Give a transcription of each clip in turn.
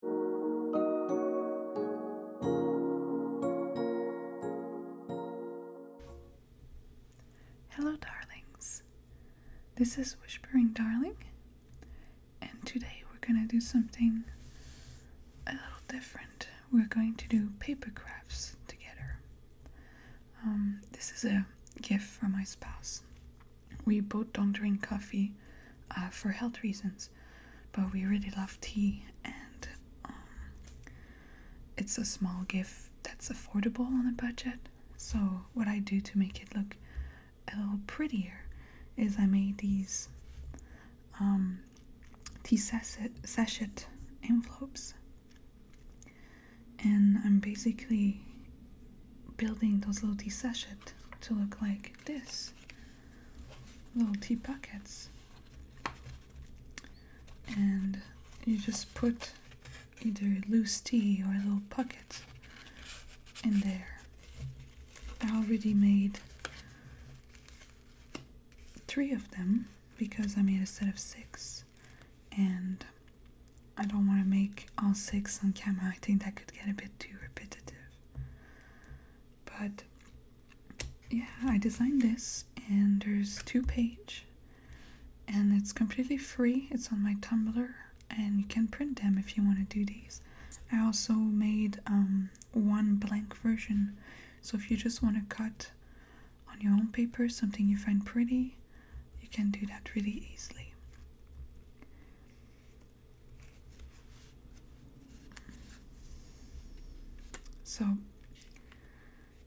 Hello, darlings. This is Whispering Darling, and today we're gonna do something a little different. We're going to do paper crafts together. Um, this is a gift from my spouse. We both don't drink coffee uh, for health reasons but we really love tea and um, it's a small gift that's affordable on a budget so what i do to make it look a little prettier is i made these um, tea sachet, envelopes and i'm basically building those little tea sachet to look like this little tea pockets. And you just put either loose tea or little pockets in there. I already made three of them because I made a set of six and I don't want to make all six on camera. I think that could get a bit too repetitive. But yeah, I designed this, and there's two page, and it's completely free. It's on my Tumblr, and you can print them if you want to do these. I also made um, one blank version, so if you just want to cut on your own paper something you find pretty, you can do that really easily. So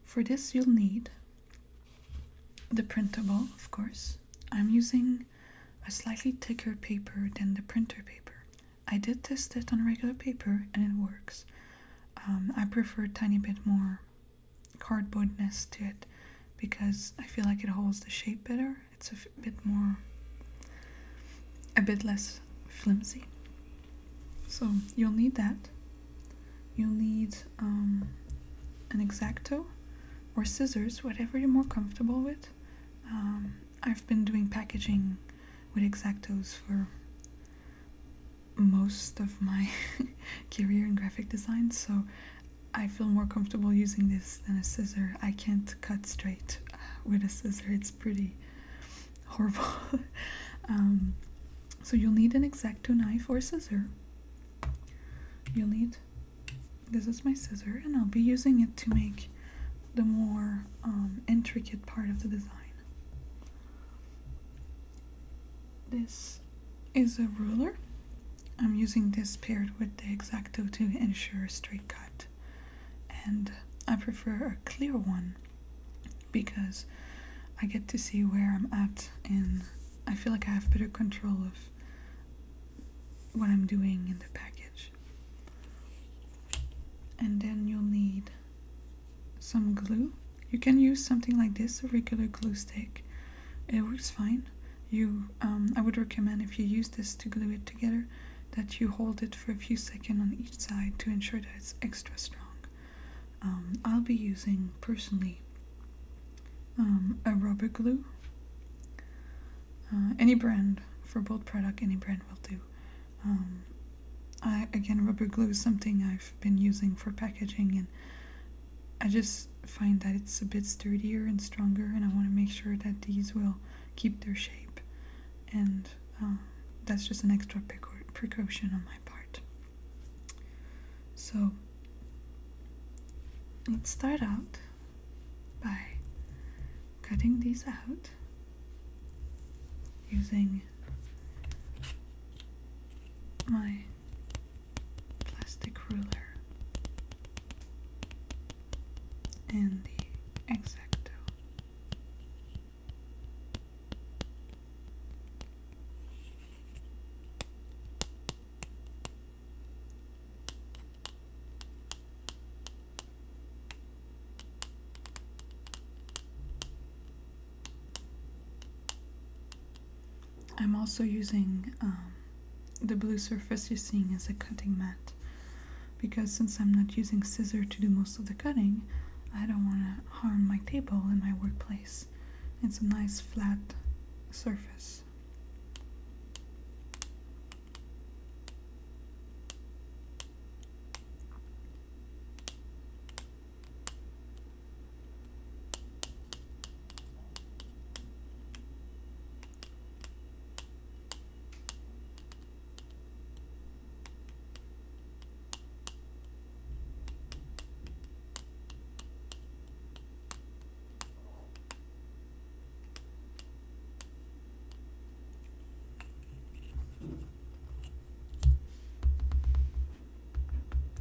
for this you'll need the printable, of course. I'm using a slightly thicker paper than the printer paper. I did test it on regular paper and it works. Um, I prefer a tiny bit more cardboardness to it because I feel like it holds the shape better it's a bit more, a bit less flimsy. So you'll need that. You'll need um, an exacto or scissors, whatever you're more comfortable with. Um, I've been doing packaging with exactos for most of my career in graphic design, so I feel more comfortable using this than a scissor. I can't cut straight with a scissor it's pretty horrible um, so you'll need an exacto knife or scissor you'll need this is my scissor and I'll be using it to make the more um, intricate part of the design this is a ruler I'm using this paired with the Exacto to ensure a straight cut and I prefer a clear one because I get to see where I'm at and I feel like I have better control of what I'm doing in the package. And then you'll need some glue. You can use something like this, a regular glue stick. It works fine. You, um, I would recommend if you use this to glue it together, that you hold it for a few seconds on each side to ensure that it's extra strong. Um, I'll be using personally um, a rubber glue. Uh, any brand for both product, any brand will do. Um, I, again, rubber glue is something I've been using for packaging, and I just find that it's a bit sturdier and stronger, and I want to make sure that these will keep their shape, and um, that's just an extra precaution on my part. So let's start out by cutting these out using my plastic ruler and the exacto. I'm also using um, the blue surface you're seeing is a cutting mat because since I'm not using scissors to do most of the cutting, I don't want to harm my table in my workplace. It's a nice flat surface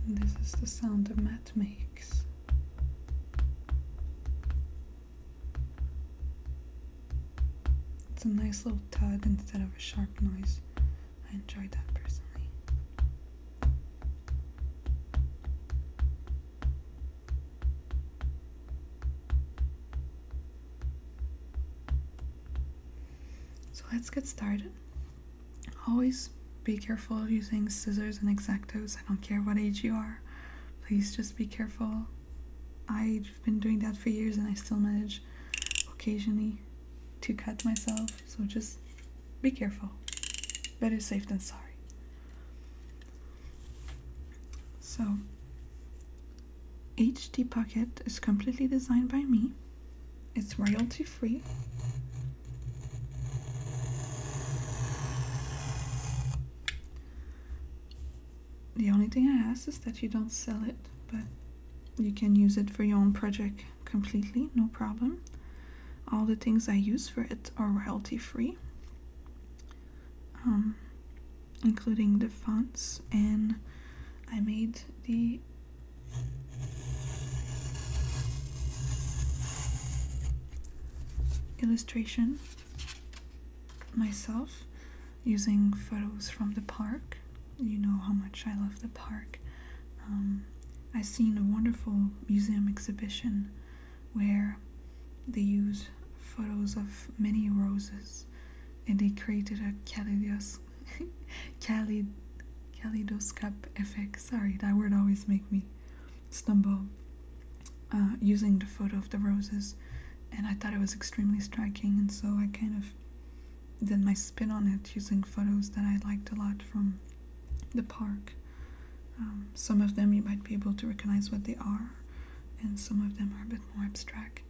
this is the sound a mat makes. It's a nice little tug instead of a sharp noise. I enjoy that personally. So let's get started. Always be careful using scissors and exactos. I don't care what age you are. Please just be careful. I've been doing that for years and I still manage occasionally to cut myself, so just be careful. Better safe than sorry. So, HD pocket is completely designed by me. It's royalty free the only thing I ask is that you don't sell it, but you can use it for your own project completely, no problem. All the things I use for it are royalty free, um, including the fonts, and I made the illustration myself using photos from the park. You know how much I love the park. Um, I seen a wonderful museum exhibition where they use photos of many roses and they created a kaleidos kaleid, kaleidoscope effect. Sorry, that word always make me stumble uh, using the photo of the roses, and I thought it was extremely striking, and so I kind of did my spin on it using photos that I liked a lot from the park. Um, some of them you might be able to recognize what they are, and some of them are a bit more abstract.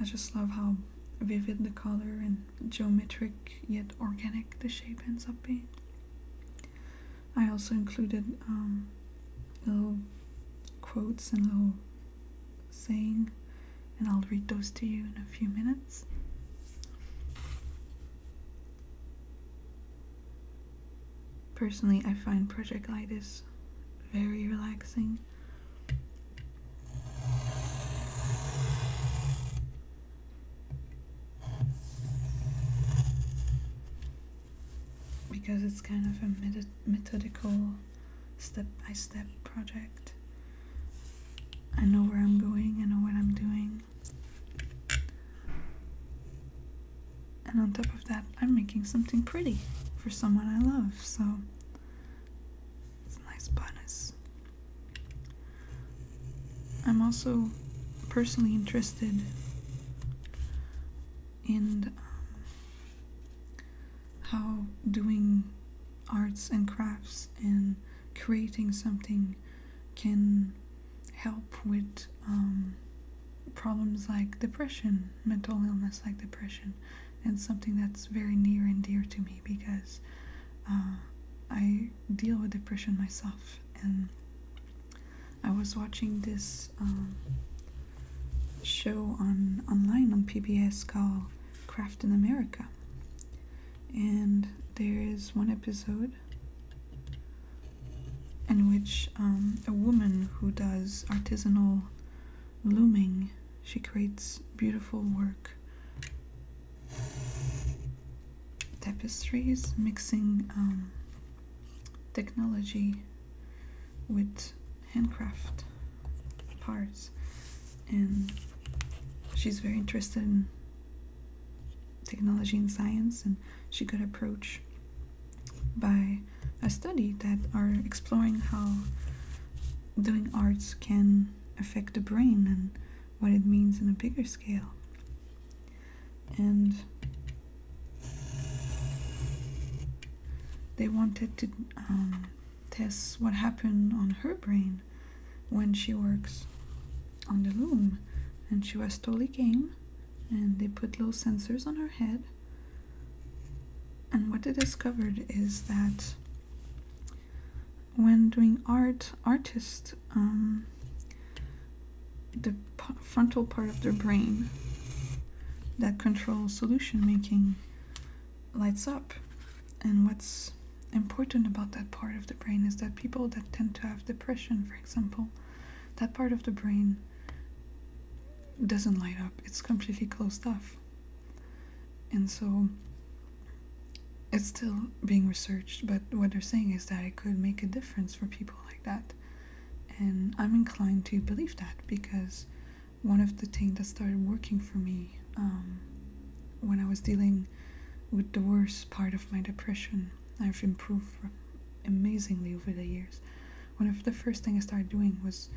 I just love how vivid the color and geometric yet organic the shape ends up being. I also included um, little quotes and little saying, and I'll read those to you in a few minutes. Personally, I find project Light is very relaxing because it's kind of a methodical step by step project. I know where I'm going, I know what I'm doing. And on top of that, I'm making something pretty for someone I love, so it's a nice bonus. I'm also personally interested in um, how doing arts and crafts and creating something can help with um, problems like depression, mental illness like depression, and something that's very near and dear to me because uh, I deal with depression myself and I was watching this um, show on online on PBS called Craft in America, and there is one episode in which um, a woman who does artisanal looming, she creates beautiful work, tapestries, mixing um, technology with handcraft parts and she's very interested in technology and science and she could approach by a study that are exploring how doing arts can affect the brain and what it means in a bigger scale and they wanted to um, test what happened on her brain when she works on the loom. And she was totally game. And they put little sensors on her head. And what they discovered is that when doing art, artists um, the frontal part of their brain that controls solution making lights up. And what's important about that part of the brain is that people that tend to have depression, for example, that part of the brain doesn't light up, it's completely closed off. And so it's still being researched, but what they're saying is that it could make a difference for people like that and I'm inclined to believe that because one of the things that started working for me um, when I was dealing with the worst part of my depression, I've improved amazingly over the years. One of the first things I started doing was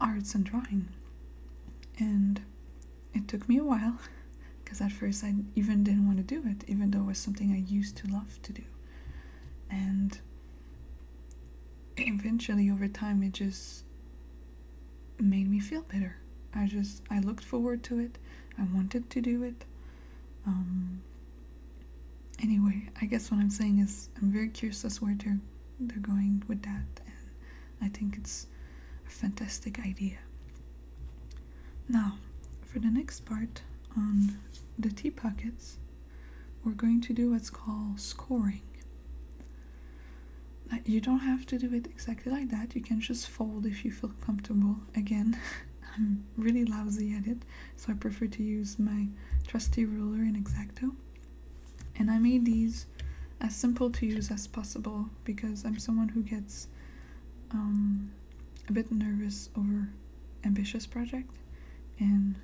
arts and drawing. And it took me a while because at first I even didn't want to do it, even though it was something I used to love to do and eventually over time it just made me feel bitter. i just i looked forward to it i wanted to do it um, anyway i guess what i'm saying is i'm very curious as where they're they're going with that and i think it's a fantastic idea now for the next part on the tea pockets, we're going to do what's called scoring. You don't have to do it exactly like that, you can just fold if you feel comfortable. Again, I'm really lousy at it, so I prefer to use my trusty ruler in Exacto. And I made these as simple to use as possible because I'm someone who gets um, a bit nervous over ambitious project and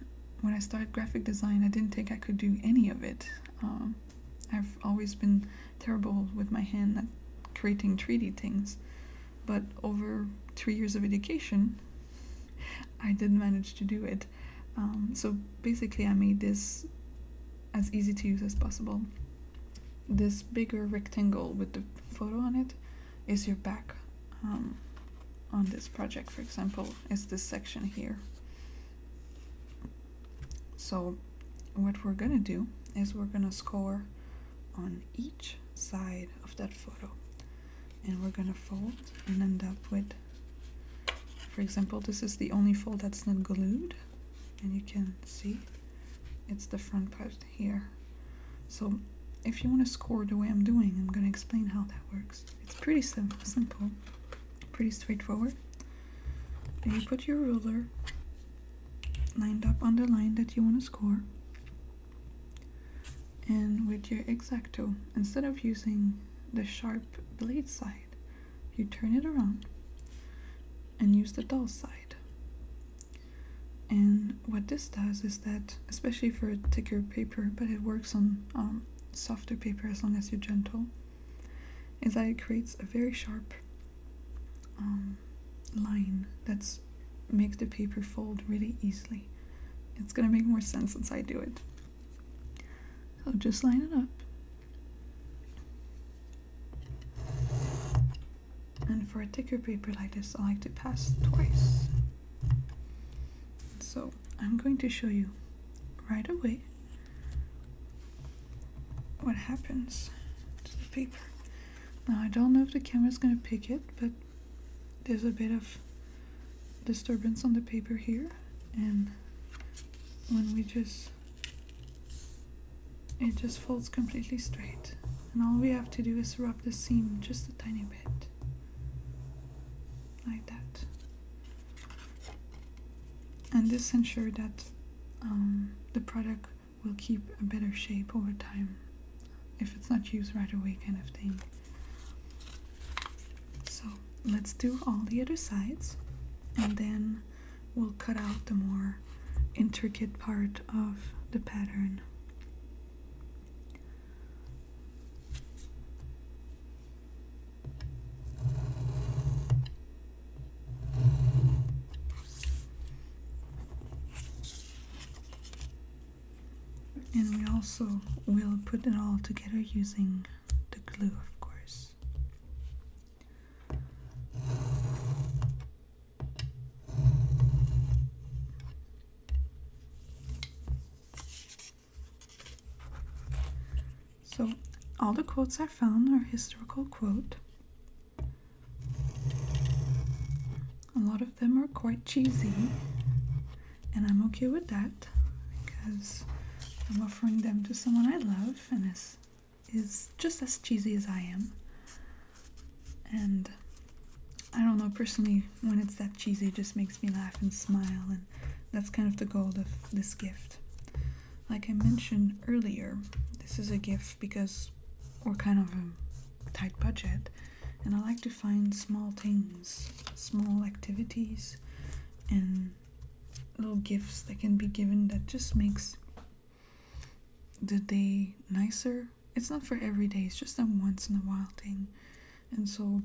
when I started graphic design I didn't think I could do any of it. Um, I've always been terrible with my hand at creating 3D things but over three years of education I did manage to do it. Um, so basically I made this as easy to use as possible. This bigger rectangle with the photo on it is your back um, on this project for example is this section here so what we're gonna do is we're gonna score on each side of that photo and we're gonna fold and end up with for example this is the only fold that's not glued and you can see it's the front part here. So if you want to score the way I'm doing, I'm going to explain how that works. It's pretty simple, pretty straightforward. you put your ruler lined up on the line that you want to score. And with your X-Acto, instead of using the sharp blade side, you turn it around and use the dull side. And what this does is that, especially for thicker paper, but it works on um, softer paper as long as you're gentle, is that it creates a very sharp um, line that makes the paper fold really easily. It's gonna make more sense once I do it. I'll just line it up and for a thicker paper like this I like to pass twice so I'm going to show you right away what happens to the paper now I don't know if the camera is gonna pick it but there's a bit of disturbance on the paper here and when we just it just folds completely straight and all we have to do is rub the seam just a tiny bit like that and this ensures that um, the product will keep a better shape over time if it's not used right away kind of thing so let's do all the other sides and then we'll cut out the more intricate part of the pattern and we also will put it all together using the glue, of course. So all the quotes I found are historical quote. A lot of them are quite cheesy, and I'm okay with that because I'm offering them to someone I love and is is just as cheesy as I am. And I don't know, personally, when it's that cheesy, it just makes me laugh and smile, and that's kind of the goal of this gift. Like I mentioned earlier, this is a gift because we're kind of a tight budget, and I like to find small things, small activities, and little gifts that can be given that just makes the day nicer it's not for every day, it's just a once in a while thing. And so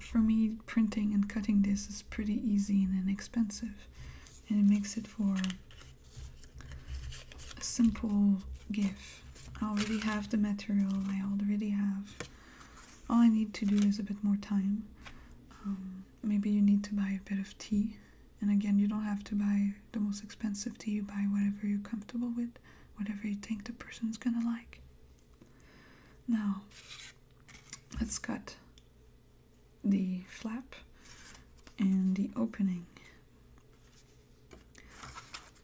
for me, printing and cutting this is pretty easy and inexpensive. And it makes it for a simple gift. I already have the material, I already have. All I need to do is a bit more time. Um, maybe you need to buy a bit of tea. And again, you don't have to buy the most expensive tea, you buy whatever you're comfortable with whatever you think the person's gonna like. Now, let's cut the flap and the opening.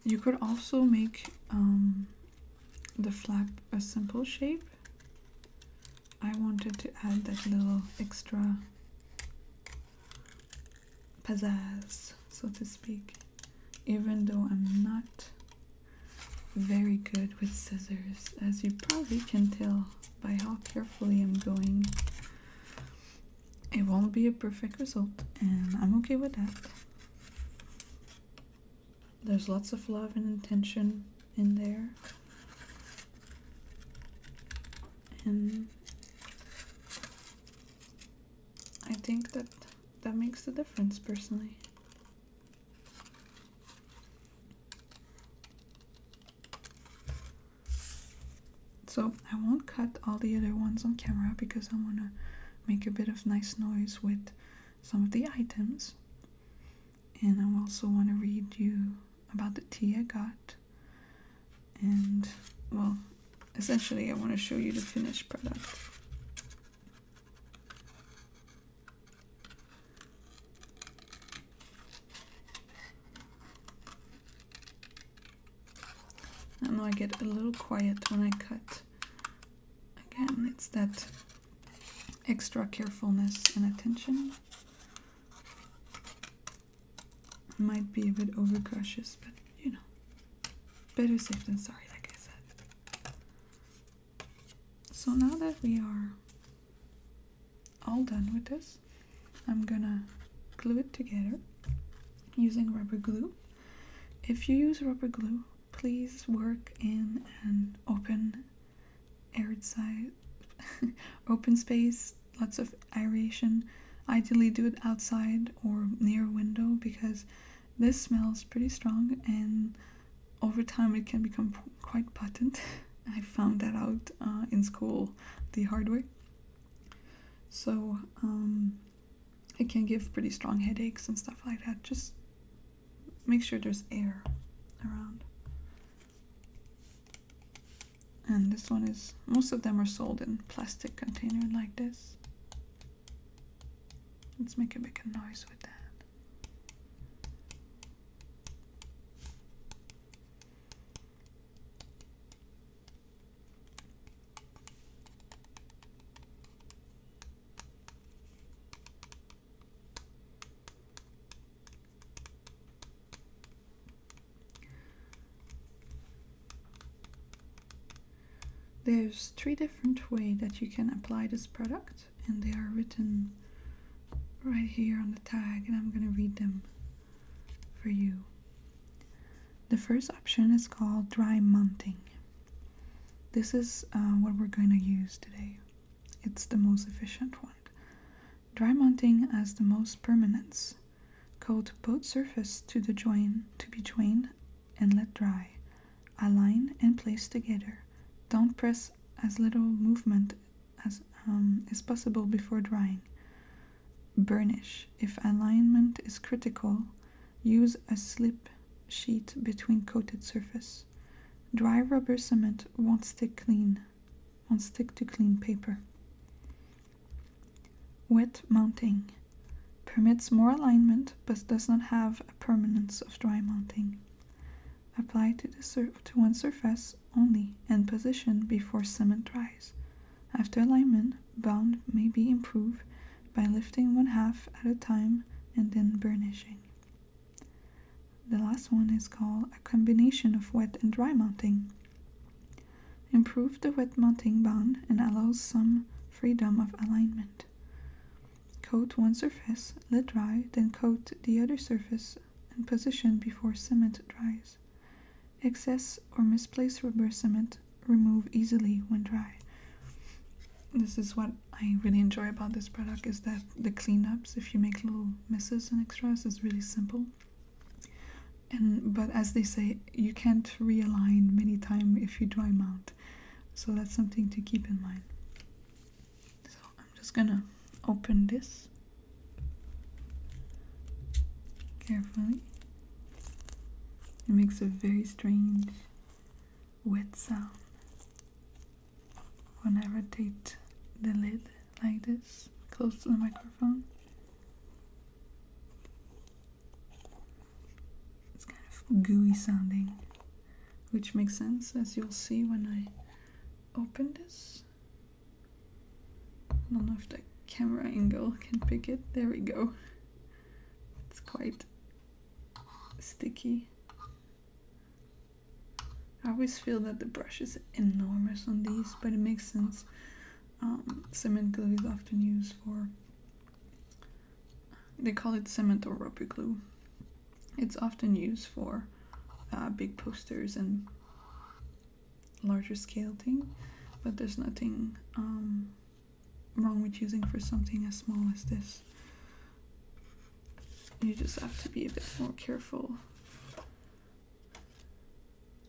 You could also make um, the flap a simple shape. I wanted to add that little extra pizzazz, so to speak, even though I'm not very good with scissors, as you probably can tell by how carefully I'm going. It won't be a perfect result, and I'm okay with that. There's lots of love and intention in there. And I think that that makes the difference personally. So I won't cut all the other ones on camera because I want to make a bit of nice noise with some of the items. And I also want to read you about the tea I got and well essentially I want to show you the finished product I know I get a little quiet when I cut again it's that extra carefulness and attention might be a bit overcautious, but you know, better safe than sorry, like I said. So now that we are all done with this, I'm gonna glue it together using rubber glue. If you use rubber glue, please work in an open, aired side, open space lots of aeration. Ideally, do it outside or near a window because this smells pretty strong and over time it can become quite potent. I found that out uh, in school the hard way. So um, it can give pretty strong headaches and stuff like that. Just make sure there's air around. And this one is, most of them are sold in plastic container like this. Let's make a big noise with that. There's three different way that you can apply this product and they are written right here on the tag and I'm going to read them for you. The first option is called dry mounting. This is uh, what we're going to use today. It's the most efficient one. Dry mounting has the most permanence Coat both surfaces to the join to be joined and let dry. Align and place together. Don't press as little movement as is um, possible before drying. Burnish. If alignment is critical, use a slip sheet between coated surface. Dry rubber cement won't stick clean, won't stick to clean paper. Wet mounting permits more alignment but does not have the permanence of dry mounting. Apply to, one surface only and position before cement dries. After alignment, bond may be improved by lifting one half at a time and then burnishing. The last one is called a combination of wet and dry mounting. Improve the wet mounting bond and allows some freedom of alignment. Coat one surface, let dry, then coat the other surface and position before cement dries. Excess or misplaced rubber cement remove easily when dry. This is what I really enjoy about this product is that the cleanups, if you make little misses and extras, is really simple and but as they say you can't realign many times if you dry mount so that's something to keep in mind so i'm just gonna open this carefully it makes a very strange wet sound when i rotate the lid like this close to the microphone it's kind of gooey sounding, which makes sense as you'll see when I open this. I don't know if the camera angle can pick it. There we go. It's quite sticky. I always feel that the brush is enormous on these, but it makes sense um, cement glue is often used for. They call it cement or rubber glue. It's often used for uh, big posters and larger scale thing, but there's nothing um, wrong with using for something as small as this. You just have to be a bit more careful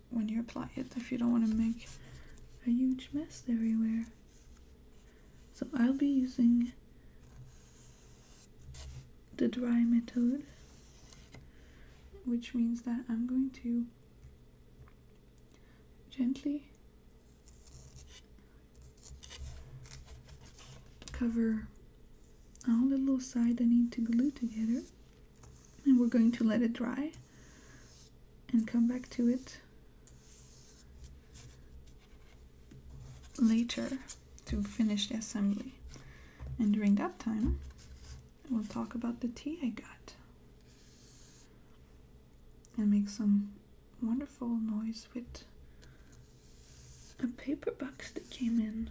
when you apply it if you don't want to make a huge mess everywhere. So I'll be using the dry method, which means that I'm going to gently cover all the little sides I need to glue together and we're going to let it dry and come back to it later to finish the assembly and during that time we'll talk about the tea I got and make some wonderful noise with a paper box that came in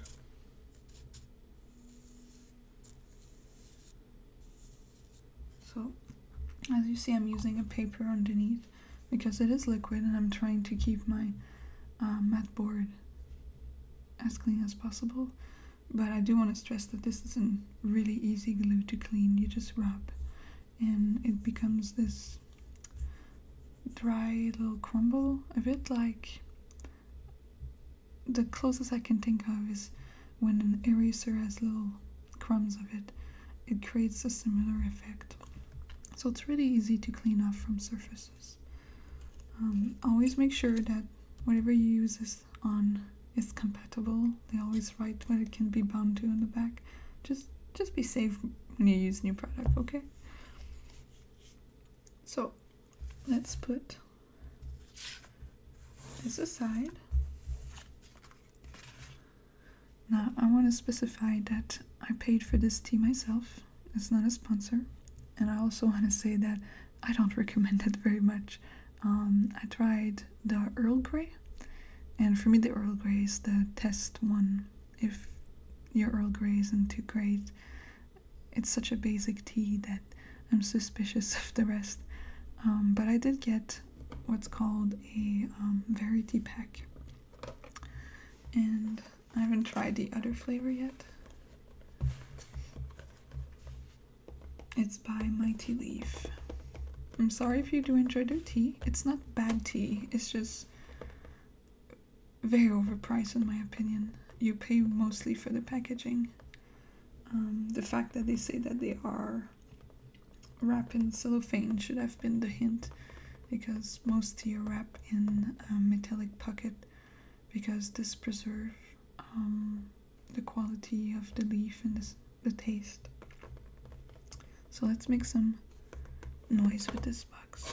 so as you see I'm using a paper underneath because it is liquid and I'm trying to keep my uh, mat board as clean as possible. But I do want to stress that this is a really easy glue to clean. You just rub and it becomes this dry little crumble, a bit like the closest I can think of is when an eraser has little crumbs of it, it creates a similar effect. So it's really easy to clean off from surfaces. Um, always make sure that whatever you use is on is compatible. They always write what it can be bound to on the back. Just just be safe when you use new product, okay? So let's put this aside. Now, I want to specify that I paid for this tea myself, it's not a sponsor, and I also want to say that I don't recommend it very much. Um, I tried the Earl Grey, and for me, the Earl Grey is the test one. If your Earl Grey isn't too great, it's such a basic tea that I'm suspicious of the rest. Um, but I did get what's called a um, variety pack, and I haven't tried the other flavor yet. It's by Mighty Leaf. I'm sorry if you do enjoy their tea. It's not bad tea, it's just very overpriced in my opinion. You pay mostly for the packaging. Um, the fact that they say that they are wrapped in cellophane should have been the hint because most tea are wrapped in a metallic pocket because this preserve um, the quality of the leaf and the taste. So let's make some noise with this box.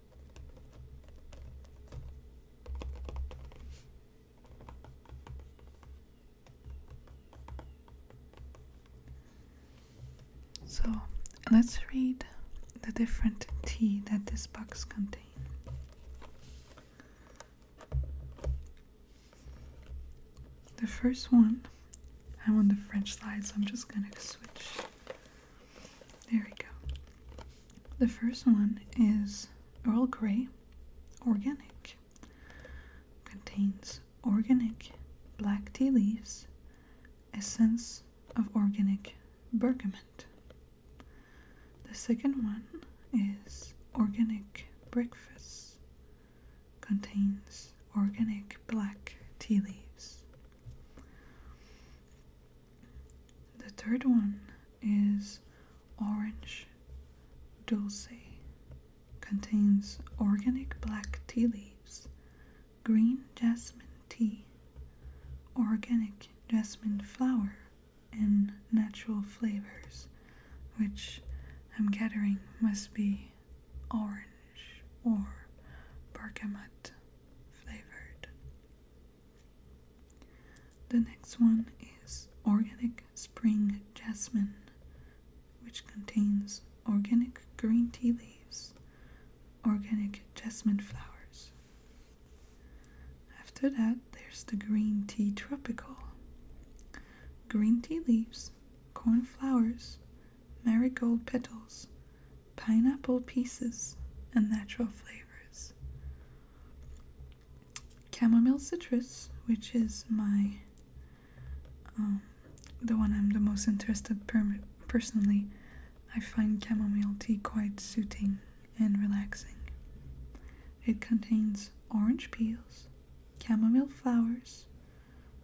So let's read the different tea that this box contains. The first one, I'm on the French slide, so I'm just gonna switch there we go. The first one is Earl Grey Organic. Contains organic black tea leaves, essence of organic bergamot. The second one is Organic Breakfast. Contains organic black tea leaves. The third one is orange dulce. Contains organic black tea leaves, green jasmine tea, organic jasmine flower, and natural flavors, which I'm gathering must be orange or bergamot flavored. The next one is organic spring jasmine, which contains organic green tea leaves, organic jasmine flowers. After that, there's the green tea tropical. Green tea leaves, corn flowers, marigold petals, pineapple pieces, and natural flavors. Chamomile citrus, which is my um, the one I'm the most interested per personally. I find chamomile tea quite soothing and relaxing. It contains orange peels, chamomile flowers,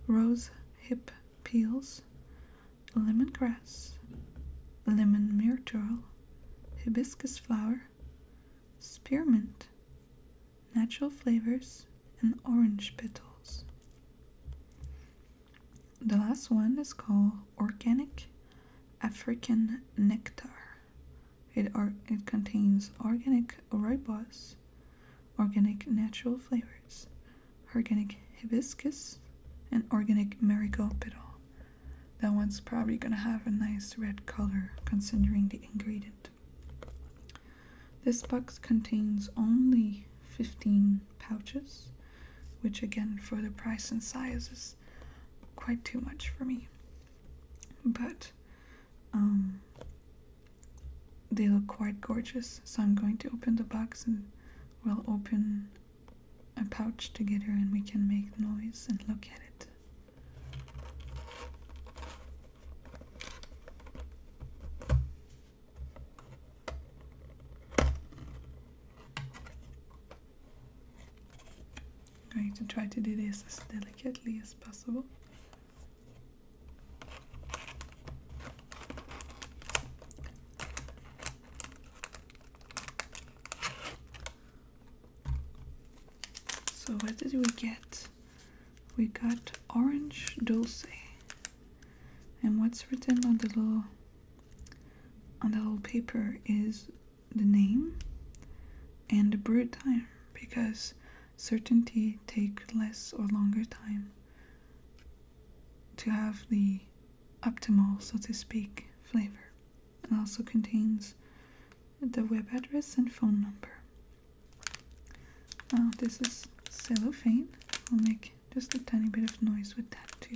rose hip peels, Lemon grass, lemon myrtle, hibiscus flower, spearmint, natural flavors, and orange petals. The last one is called organic African nectar. It, it contains organic roibos, organic natural flavors, organic hibiscus, and organic marigold petal. That one's probably gonna have a nice red color considering the ingredient. This box contains only 15 pouches, which again for the price and size is quite too much for me. But um, they look quite gorgeous, so I'm going to open the box and we'll open a pouch together and we can make noise and look at it. I'm going to try to do this as delicately as possible. So what did we get? We got orange dulce. And what's written on the little on the little paper is the name and the brew time because certainty take less or longer time to have the optimal, so to speak, flavor. and also contains the web address and phone number. Now uh, this is cellophane. We'll make just a tiny bit of noise with that too.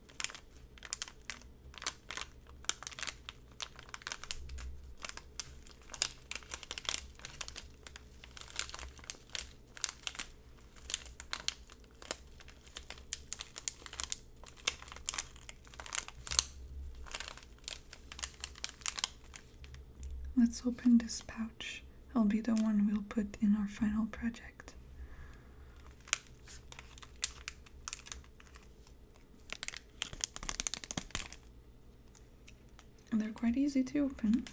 Let's open this pouch. It'll be the one we'll put in our final project. And they're quite easy to open.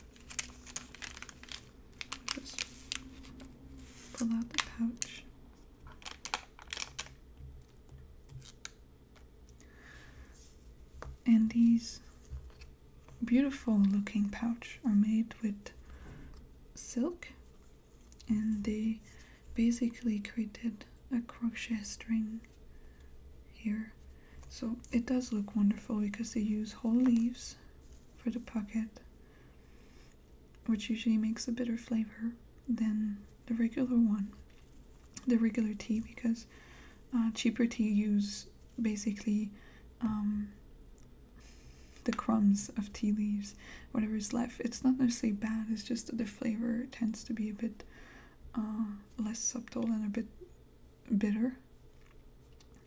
Just pull out the pouch. And these beautiful looking pouch are made with silk and they basically created a crochet string here so it does look wonderful because they use whole leaves for the pocket which usually makes a better flavor than the regular one the regular tea because uh, cheaper tea use basically um, the crumbs of tea leaves, whatever is left. It's not necessarily bad, it's just that the flavor tends to be a bit uh, less subtle and a bit bitter.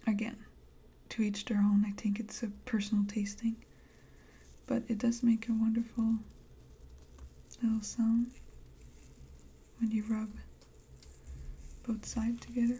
Again, to each their own. I think it's a personal tasting, but it does make a wonderful little sound when you rub both sides together.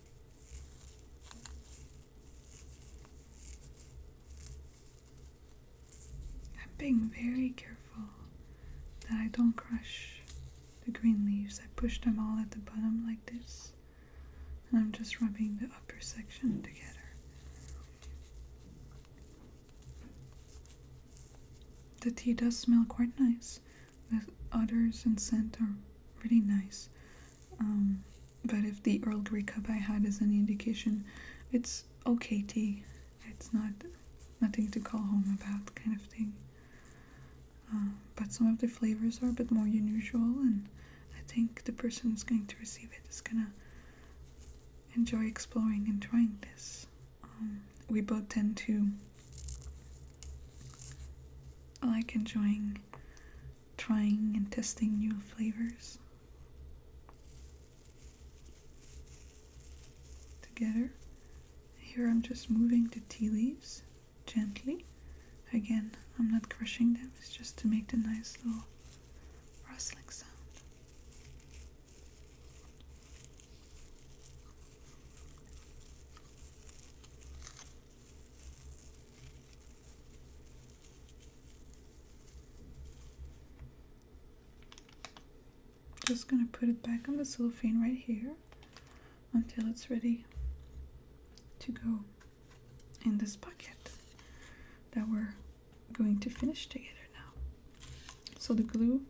I'm being very careful that I don't crush the green leaves. I push them all at the bottom like this, and I'm just rubbing the upper section together. The tea does smell quite nice. The odors and scent are really nice. Um, but if the Earl Grey cup I had is any indication, it's okay tea. It's not nothing to call home about, kind of thing. Uh, but some of the flavors are a bit more unusual, and I think the person who's going to receive it is gonna enjoy exploring and trying this. Um, we both tend to like enjoying trying and testing new flavors together. Here I'm just moving the tea leaves gently. Again, I'm not crushing them, it's just to make the nice little rustling sound. Just going to put it back on the cellophane right here until it's ready to go in this bucket that we're going to finish together now. So the glue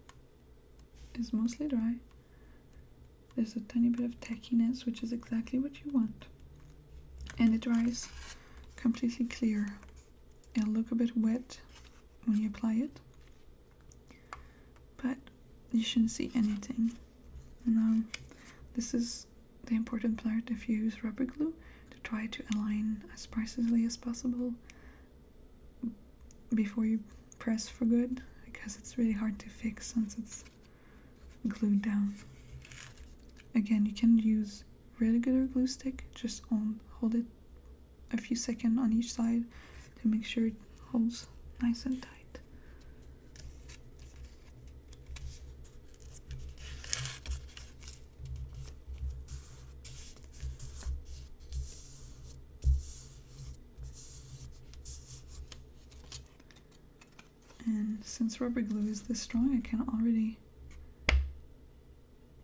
is mostly dry there's a tiny bit of tackiness, which is exactly what you want. And it dries completely clear. It'll look a bit wet when you apply it. But you shouldn't see anything. Now, this is the important part if you use rubber glue to try to align as precisely as possible before you press for good because it's really hard to fix since it's glued down. Again, you can use regular glue stick, just hold it a few seconds on each side to make sure it holds nice and tight. And since rubber glue is this strong, I can already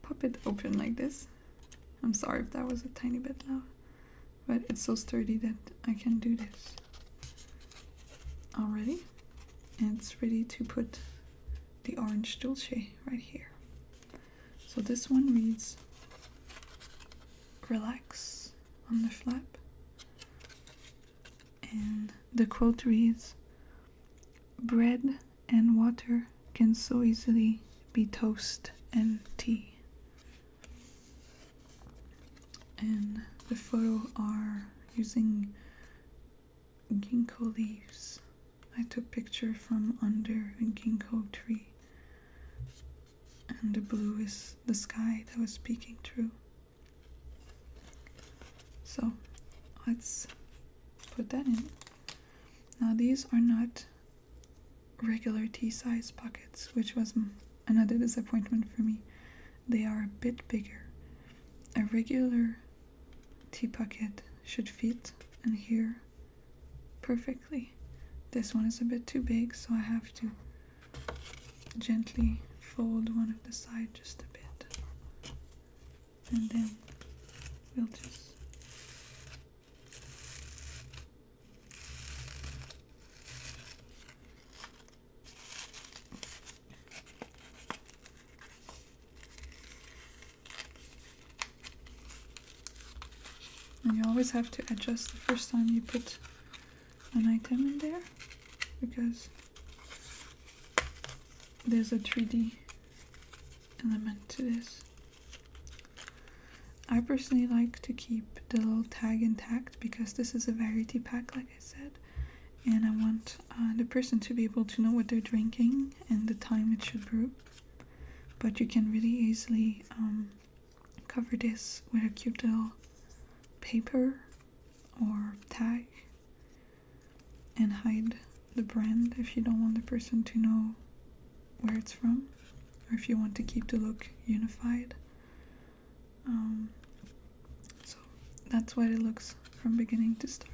pop it open like this. I'm sorry if that was a tiny bit loud, but it's so sturdy that I can do this already. And it's ready to put the orange dulce right here. So this one reads relax on the flap and the quote reads Bread and water can so easily be toast and tea. And the photo are using ginkgo leaves. I took picture from under a ginkgo tree. And the blue is the sky that was peeking through. So let's put that in. Now these are not regular tea size pockets, which was another disappointment for me. They are a bit bigger. A regular tea pocket should fit in here perfectly. This one is a bit too big, so I have to gently fold one of the side just a bit and then we'll just you always have to adjust the first time you put an item in there because there's a 3D element to this. I personally like to keep the little tag intact because this is a variety pack like I said and I want uh, the person to be able to know what they're drinking and the time it should brew but you can really easily um, cover this with a cute little paper or tag and hide the brand if you don't want the person to know where it's from or if you want to keep the look unified. Um, so that's what it looks from beginning to start.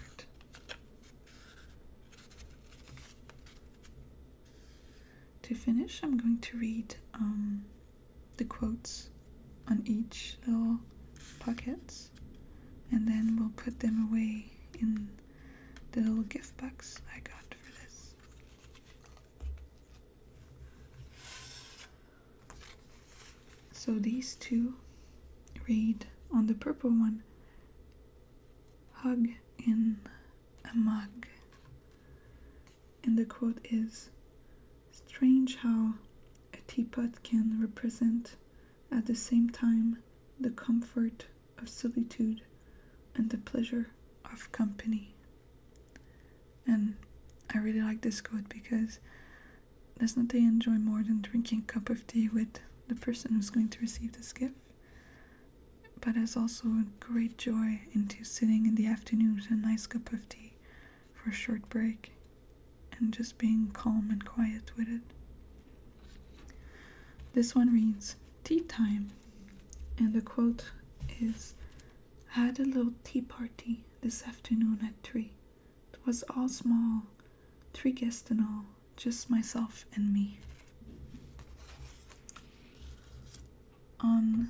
To finish, I'm going to read um, the quotes on each little pockets and then we'll put them away in the little gift box I got for this. So these two read on the purple one hug in a mug and the quote is Strange how a teapot can represent at the same time the comfort of solitude and the pleasure of company. And I really like this quote because there's nothing I enjoy more than drinking a cup of tea with the person who's going to receive this gift. But there's also a great joy into sitting in the afternoon with a nice cup of tea for a short break and just being calm and quiet with it. This one reads Tea Time, and the quote is Had a little tea party this afternoon at 3. It was all small, three guests in all, just myself and me on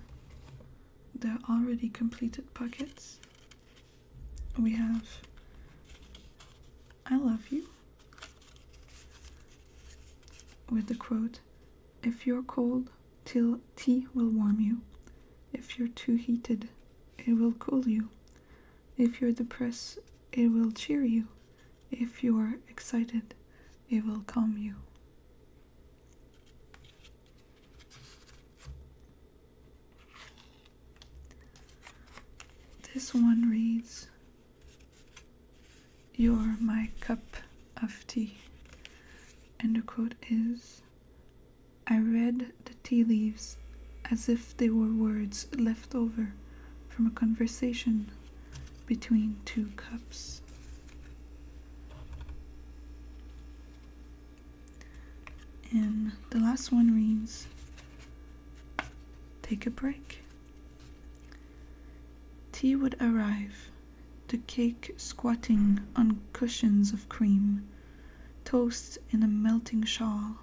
the already completed pockets, we have I love you with the quote If you're cold, till tea will warm you. If you're too heated, it will cool you. If you're depressed, it will cheer you. If you're excited, it will calm you. This one reads You're my cup of tea. And the quote is I read the tea leaves as if they were words left over from a conversation between two cups. And the last one reads Take a break. Tea would arrive, the cake squatting on cushions of cream, toast in a melting shawl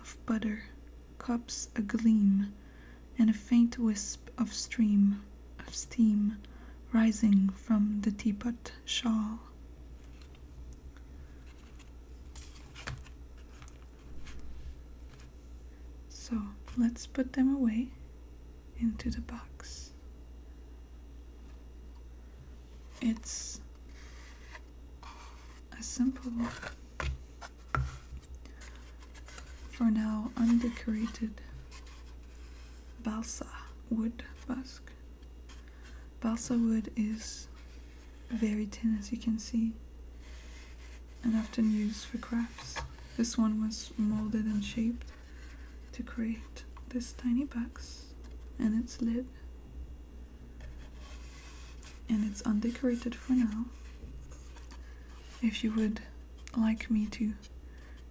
of butter, cups agleam, and a faint wisp of steam, of steam rising from the teapot shawl. So let's put them away into the box. It's a simple, for now undecorated balsa wood busk. Balsa wood is very thin as you can see and often used for crafts. This one was molded and shaped to create this tiny box and its lid and it's undecorated for now. If you would like me to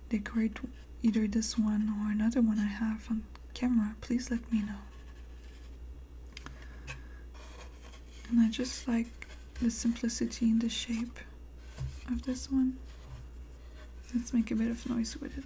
decorate either this one or another one I have on camera, please let me know. And I just like the simplicity in the shape of this one. Let's make a bit of noise with it.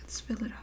Let's fill it up.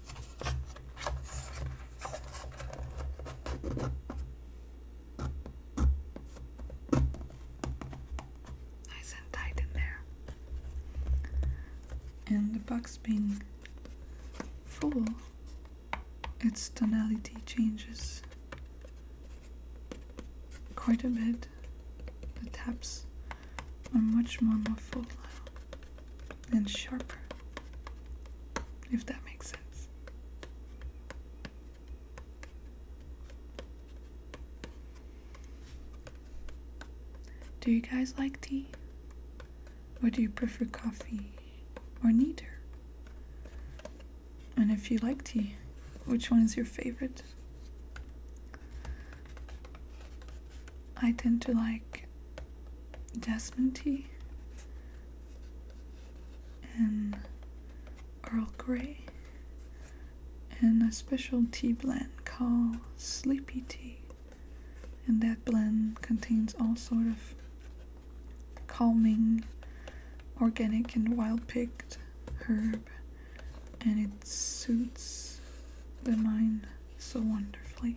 Nice and tight in there. And the box being full, its tonality changes quite a bit. The taps are much more muffled now and sharper, if that makes sense. Do you guys like tea? Or do you prefer coffee? Or neither? And if you like tea, which one is your favorite? I tend to like like jasmine tea and Earl Grey and a special tea blend called Sleepy Tea. And that blend contains all sort of calming organic and wild picked herb and it suits the mind so wonderfully.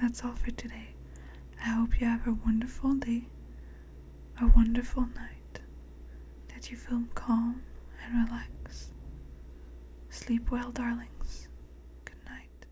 That's all for today. I hope you have a wonderful day, a wonderful night, that you feel calm and relax. Sleep well, darlings. Good night.